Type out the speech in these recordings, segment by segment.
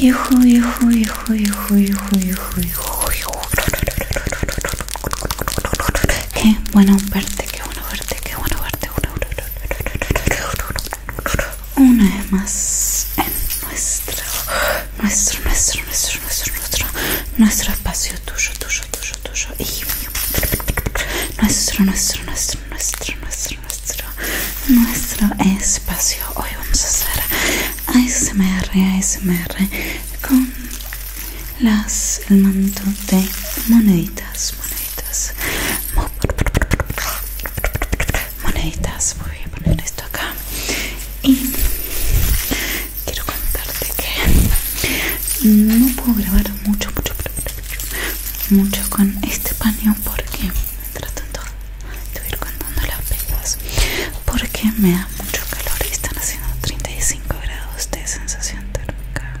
Hijo, hijo, hijo, hijo, hijo, hijo, hijo, Qué bueno verte, qué bueno verte, qué bueno verte. Una vez más nuestro, nuestro, nuestro, nuestro, nuestro, nuestro, nuestro espacio tuyo, tuyo, tuyo, tuyo y Nuestro, nuestro, nuestro, nuestro, nuestro, nuestro, nuestro espacio. Hoy vamos a hacer ASMR, ASMR con las, el manto de moneditas, moneditas moneditas voy a poner esto acá y quiero contarte que no puedo grabar mucho mucho mucho, mucho con este paño porque mientras tanto te ir contando las pelotas, porque me da mucho calor y están haciendo 35 grados de sensación térmica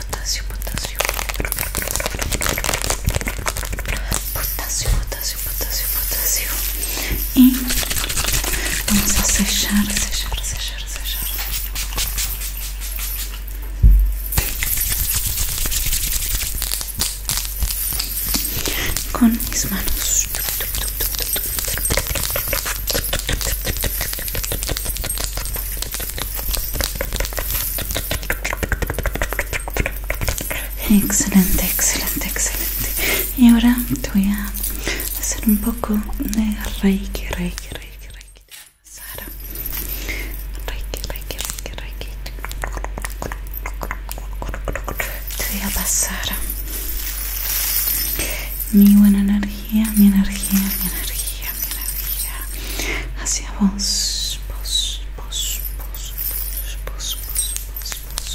potasio, potasio, potasio, potasio, potasio, potasio. Y vamos a sellar, sellar, sellar, sellar. Con mis manos. Excelente, excelente, excelente. Y ahora te voy a hacer un poco de reiki, reiki, reiki, reiki. Sara. Reiki, reiki, reiki, reiki. Te voy a pasar mi buena energía mi energía, mi energía, mi energía hacia vos, vos, vos, vos, vos, vos, vos, vos, vos.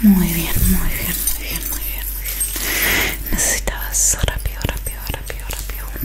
Muy bien, muy bien, muy bien, muy bien, muy bien. Necesitabas rápido, rápido, rápido, rápido un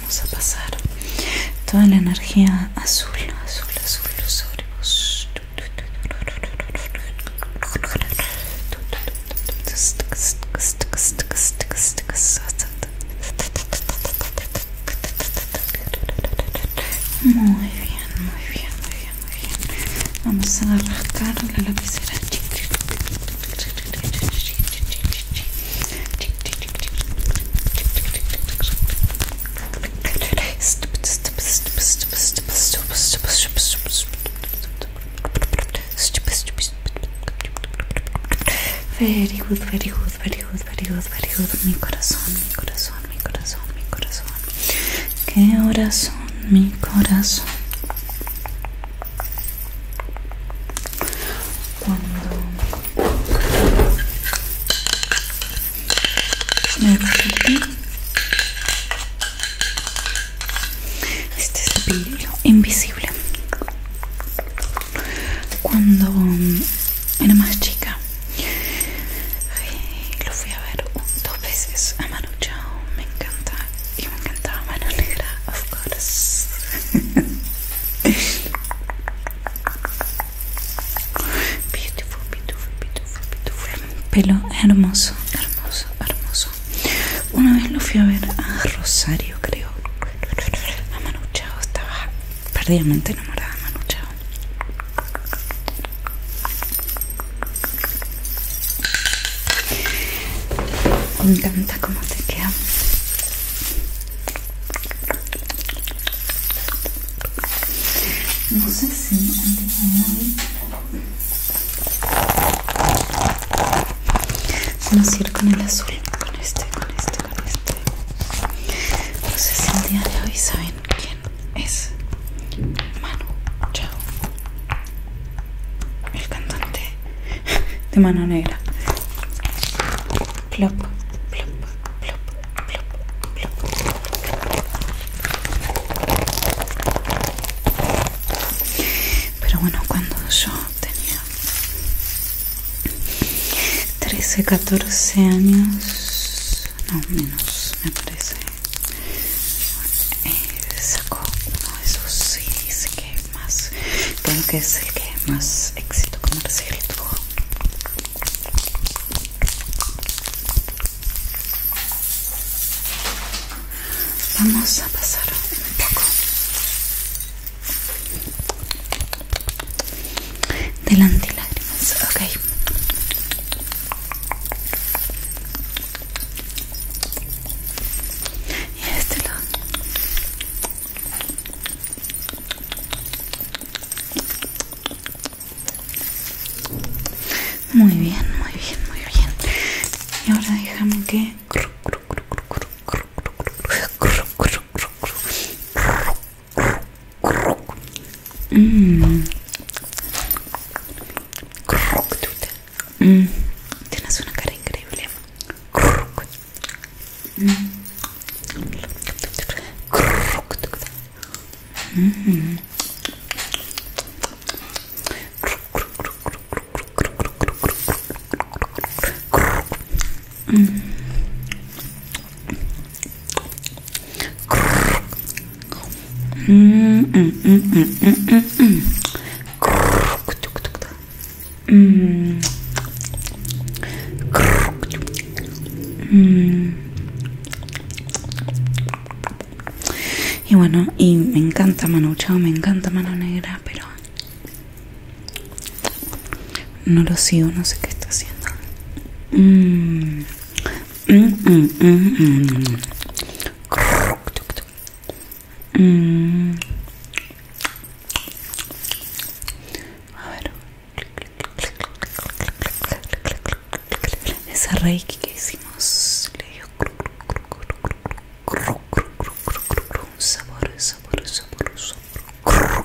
vamos a pasar toda la energía azul, azul, azul azul. Muy bien, muy bien, muy bien, muy bien. Vamos a arrancar la lapicera. Very good, very good, very good, very good, very good. Mi corazón, mi corazón, mi corazón, mi corazón. Qué corazón, mi corazón. Cuando este invisible cuando mm, era más chica lo fui a ver dos veces a Manu Chao me encanta y me encantaba Mano Negra of course Beautiful, beautiful, beautiful, beautiful. Pelo hermoso, hermoso, hermoso. Una vez lo fui a ver a Rosario, creo. A Manu estaba perdidamente enamorada de Manuchao, Chao. Me encanta cómo te queda no sé si el de hoy vamos a ir con el azul, con este, con este, con este. No sé si el día de hoy saben quién es Manu Chao, el cantante de mano negra. Plop, plop, plop, plop, plop. Pero bueno, cuando yo tenía 13, 14 años, no menos, me parece. Eh, sacó uno de esos CDs que más creo que es el que más éxito el tuvo vamos a pasar un poco del lágrimas ok y este lado muy bien, muy bien, muy bien. Y ahora déjame que Mm, tienes una cara increíble. Y bueno, y me encanta Mano Chao, me encanta Mano Negra, pero no lo sigo, no sé qué está haciendo. mmm mmm mmm Mm. Esa reiki que hicimos le dio sabor, sabor, sabor, sabor.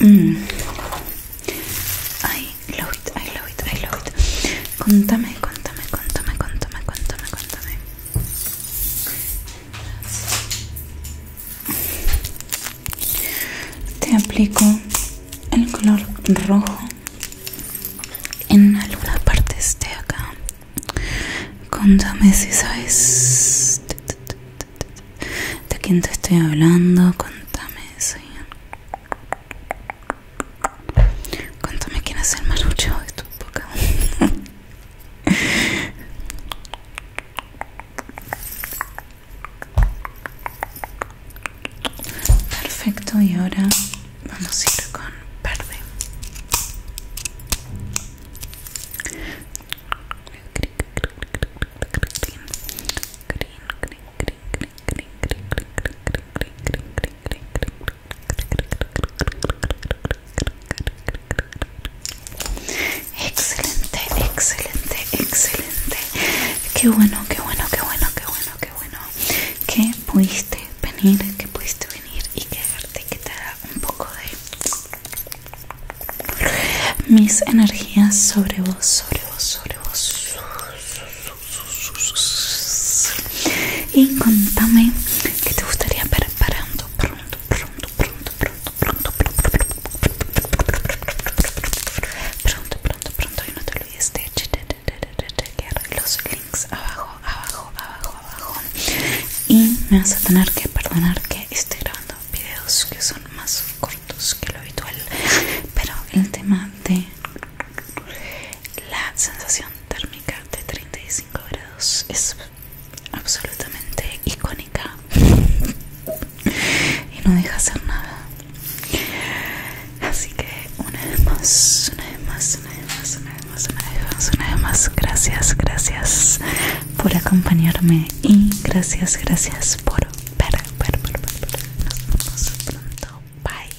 Mm. ay, I love it, I love it, I love it. Contame, contame, contame, contame, contame, contame. Te aplico el color rojo en algunas partes de acá contame si sabes de quién te estoy hablando contame si contame quién es el más de tu boca Perfecto, y ahora vamos a ir con verde. Excelente, excelente, excelente. Qué bueno, qué bueno, qué bueno, qué bueno, qué bueno. Que pudiste venir, que pudiste venir y quedarte que te haga un poco de mis energías sobre vos, sobre vos, sobre vos. Y contame qué te gustaría preparando pronto, pronto pronto, pronto, pronto, pronto, pronto, pronto, pronto, pronto. Y no te olvides de chequear los links abajo, abajo, abajo, abajo. Y me vas a tener que perdonar que estoy grabando videos que son más cortos que lo habitual. Pero el tema de la sensación térmica de 35 grados es absolutamente icónico y no deja hacer nada así que una vez más una vez más una vez más una vez más una vez más gracias gracias por acompañarme y gracias gracias por ver ver, ver. nos vemos pronto bye